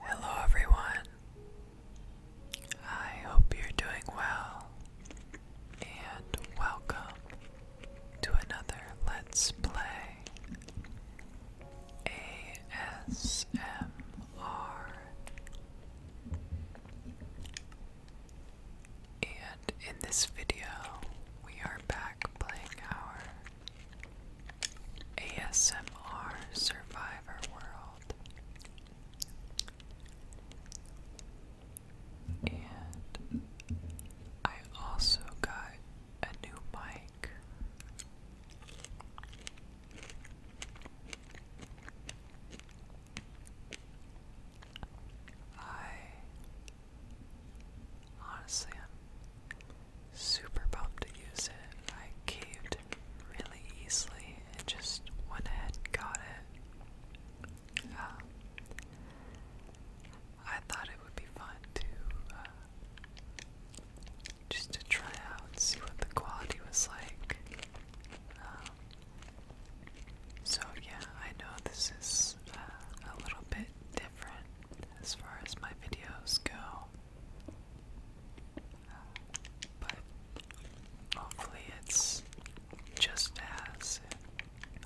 Hello, everyone. I hope you're doing well, and welcome to another Let's Play ASMR. And in this video, we are back playing our ASMR Survivor World. And I also got a new mic. I Honestly, I'm super pumped to use it. I caved really easily and just went ahead and got it. Um, I thought it would be fun to uh, just to try out and see what the quality was like. Um, so yeah, I know this is uh, a little bit as far as my videos go. but hopefully, it's just as,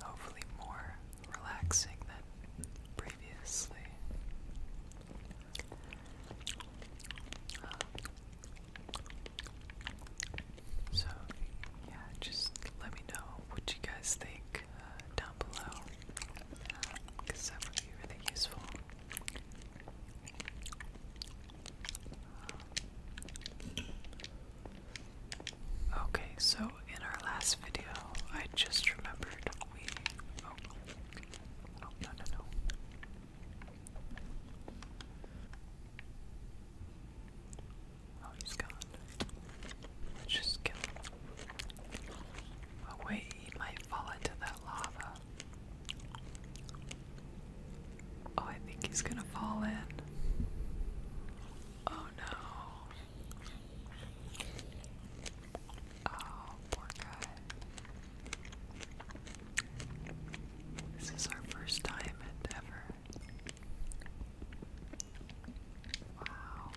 hopefully, more relaxing than previously. so, yeah, just let me know what you guys think uh, down below because um, would be really useful. Okay, so in our last video, I just remembered we. oh, oh no, no, no. Oh, he's gone. Let's just kill him. Oh wait, he might fall into that lava. Oh, I think he's gonna fall in. Oh no. Oh, poor guy. This is our first time ever Wow.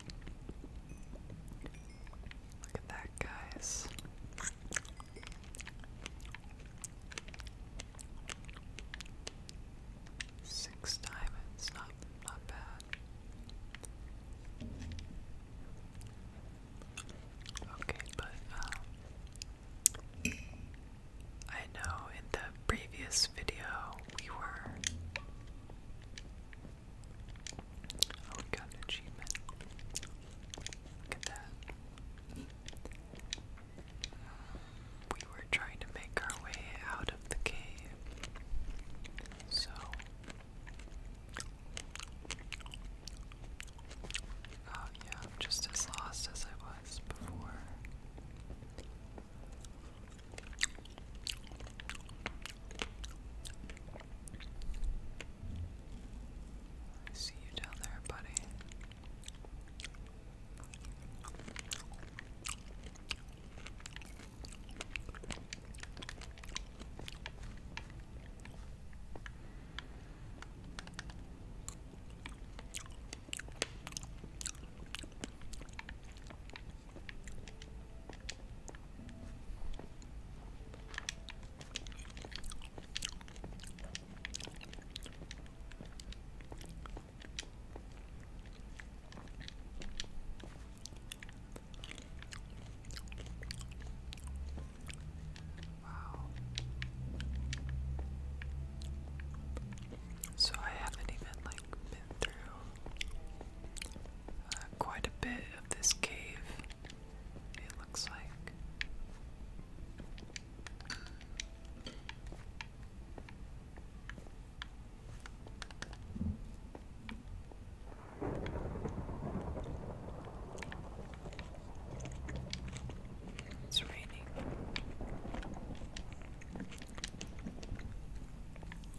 Look at that, guys. Six diamonds, not bad. Okay, but um, I know in the previous video we were Oh, we got an achievement. Look at that. We were trying to make our way out of the cave. So, oh, yeah, I'm just as lost as I was before. I see you down there, buddy. Wow. So I haven't even like uh, quite a bit of this cave, it looks like. It's raining.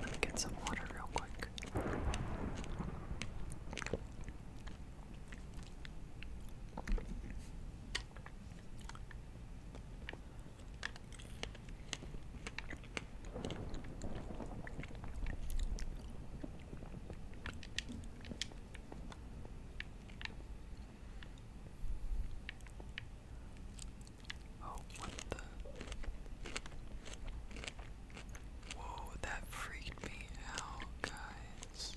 Let me get some water real quick. Oh, what the? Whoa, that freaked me out, guys.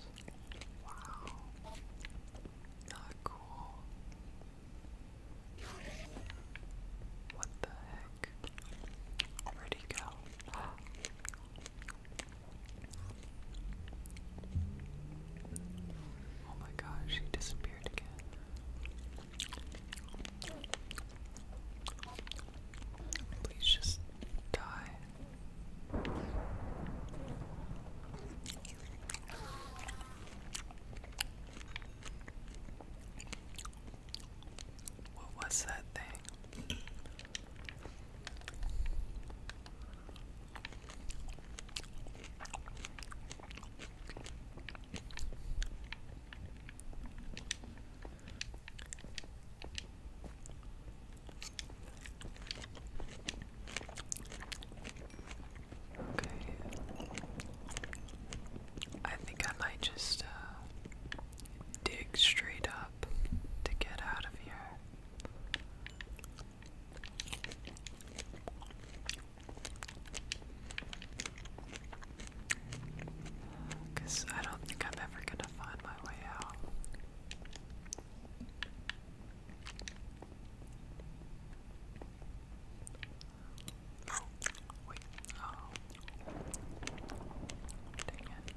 Wow. Not cool. What the heck? Where'd Oh my gosh, she disappeared again. Please just die. What was that thing? Okay. I think I might just uh, dig straight up to get out of here. Because I don't think I'm ever going to find my way out. Oh, wait, oh. Dang it.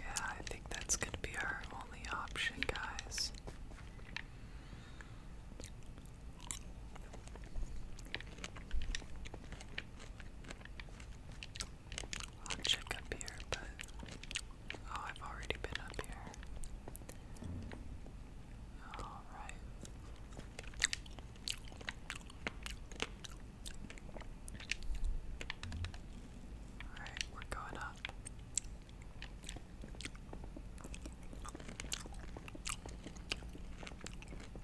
Yeah, I think that's going to be our only option, guys. I'll check up here, but oh, I've already been up here. All right. All right, we're going up.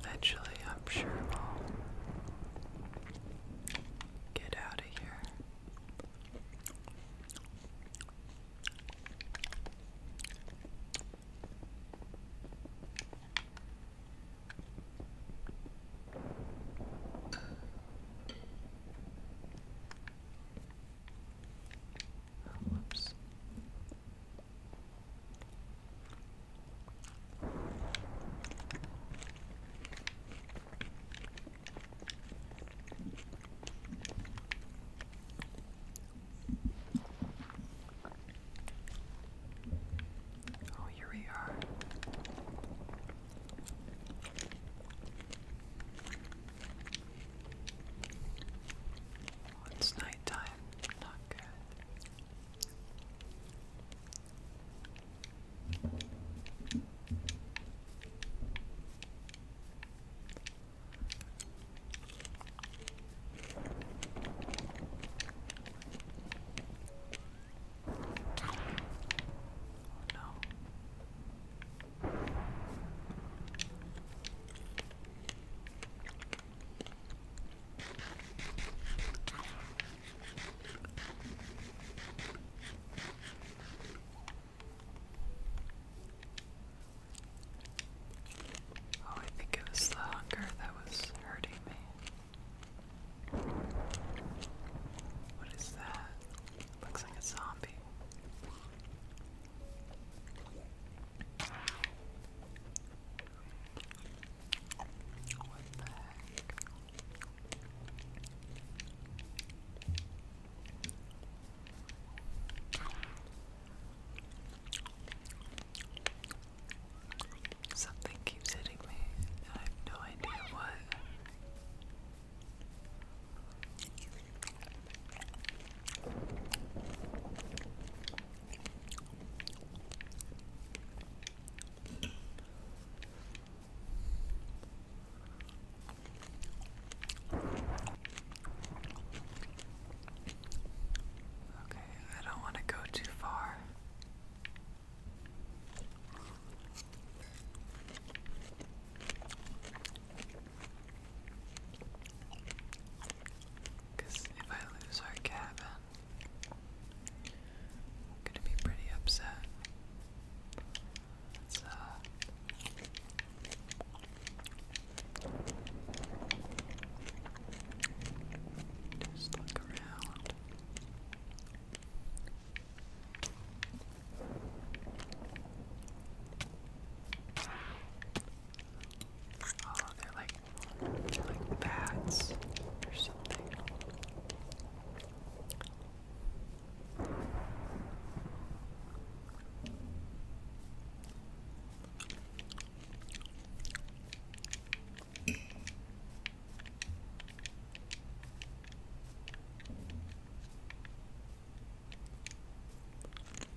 Eventually, I'm sure we'll get out of here. Whoops. Oh, here we are. Oh, it's nighttime. Not good. Oh no. Oh, I think it was the hunger that was hurting me. What is that? Looks like a zombie. What the Something keeps hitting me, I have no idea what. Okay, I don't want to go too far. Because if I lose our cabin, I'm gonna be pretty upset. Let's, uh. Just look around. Oh, they're like, they're like bats or something.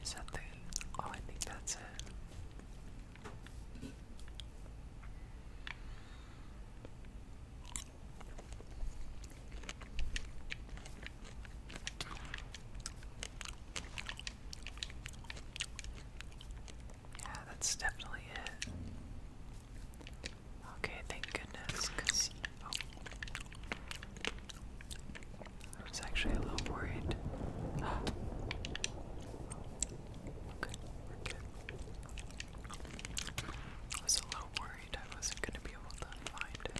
Is that the. Oh, I think that's it. Yeah, that's definitely it. Okay, thank goodness, because oh. I was actually a little worried. I was a little worried I wasn't going to be able to find it.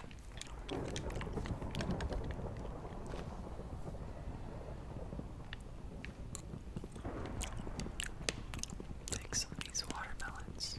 Take some these watermelons.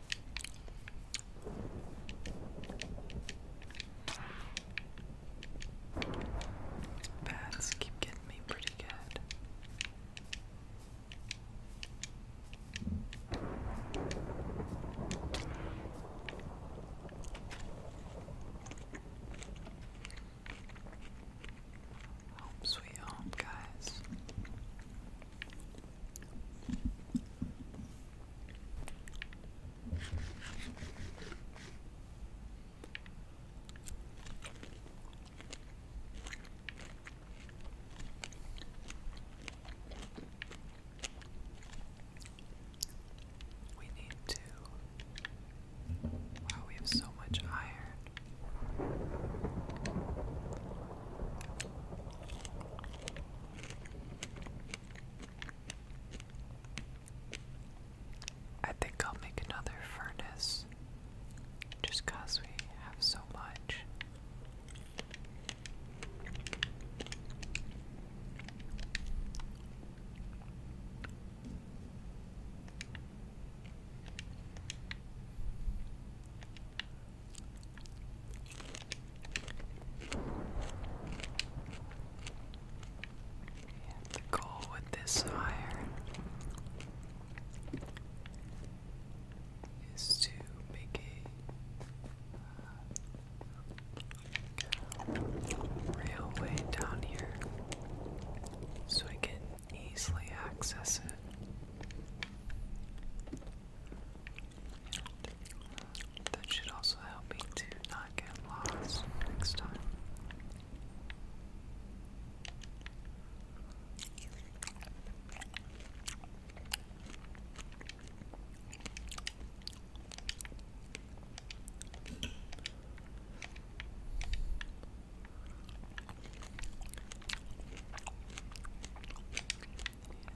Bats keep getting me pretty good. Home sweet home, guys. We need to. Wow, we have so much iron. I think I'll make another furnace just because we have so much. The goal with this iron is to make uh, a railway down here so I can easily access it. That should also help me to not get lost next time.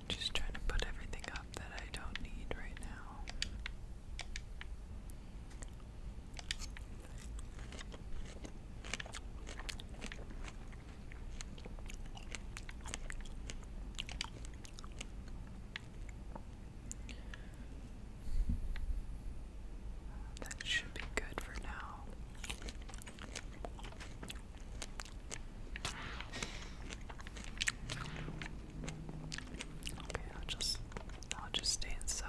Just trying to put everything up that I don't need right now. That should be good for now. Okay, I'll just I'll just stay inside.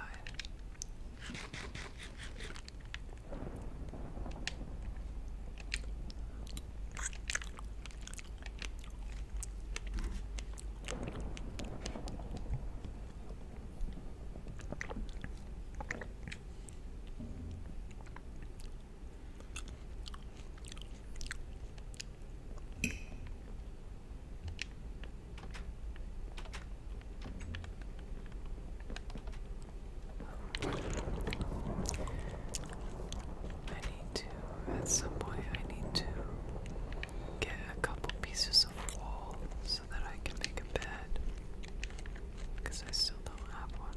I need to, at some point, I need to get a couple pieces of walls so that I can make a bed. Because I still don't have one.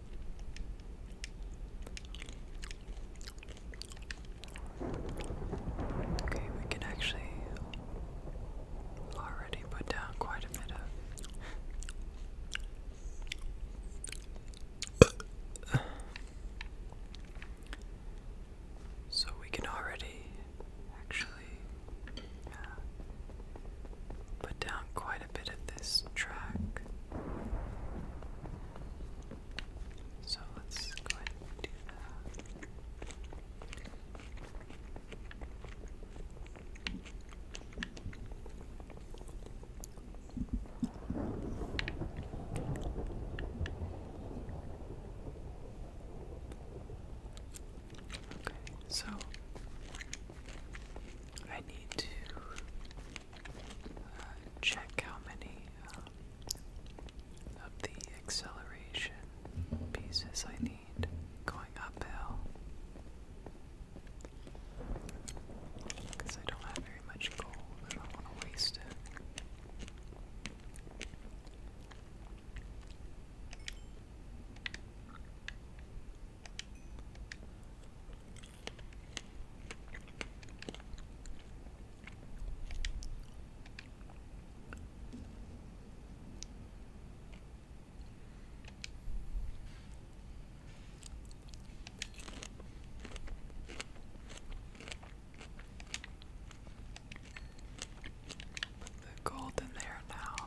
Okay, we can actually already put down quite a bit of. so we can already actually uh, put down quite a bit of this track. So let's go ahead and do that. Okay, so I need to uh, check how many uh, of the acceleration pieces I need going uphill. Because I don't have very much gold, I don't want to waste it. Put the gold in there now.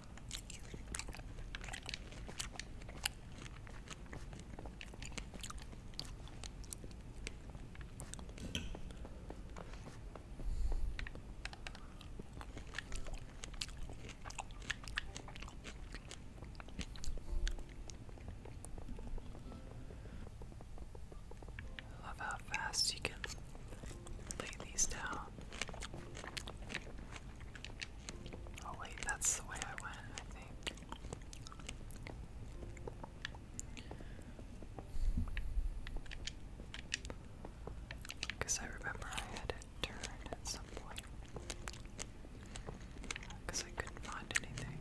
I love how fast you can lay these down. Oh wait, that's the way I went, I think. Because I remember I had it turned at some point. Because I couldn't find anything.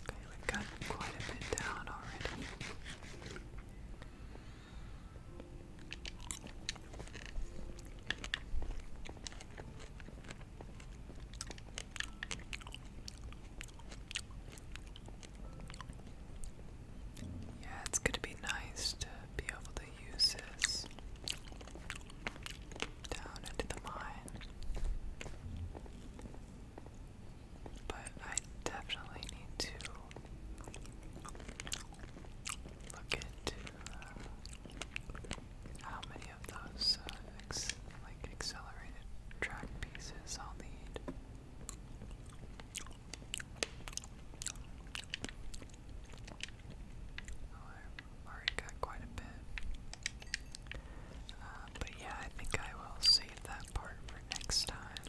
Okay, we've got quite a bit down already. Yeah, it's going to be nice to be able to use this down into the mine. But I definitely need to look into uh, how many of those uh, like accelerated track pieces I'll need already got quite a bit. Uh, but yeah, I think I will save that part for next time.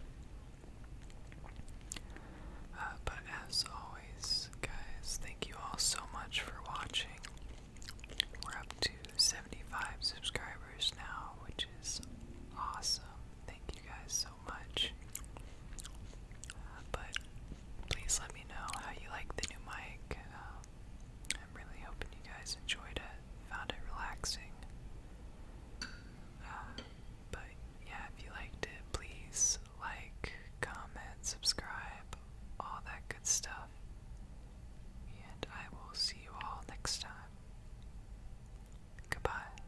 Uh, but as always, guys, thank you all so much for watching. We're up to 75 subscribers now, which is awesome. Thank you guys so much. Uh, but please let me know how you like the new mic. Um, I'm really hoping you guys enjoyed it, found it relaxing. Um, but yeah, if you liked it, please like, comment, subscribe, all that good stuff. And I will see you all next time. Goodbye.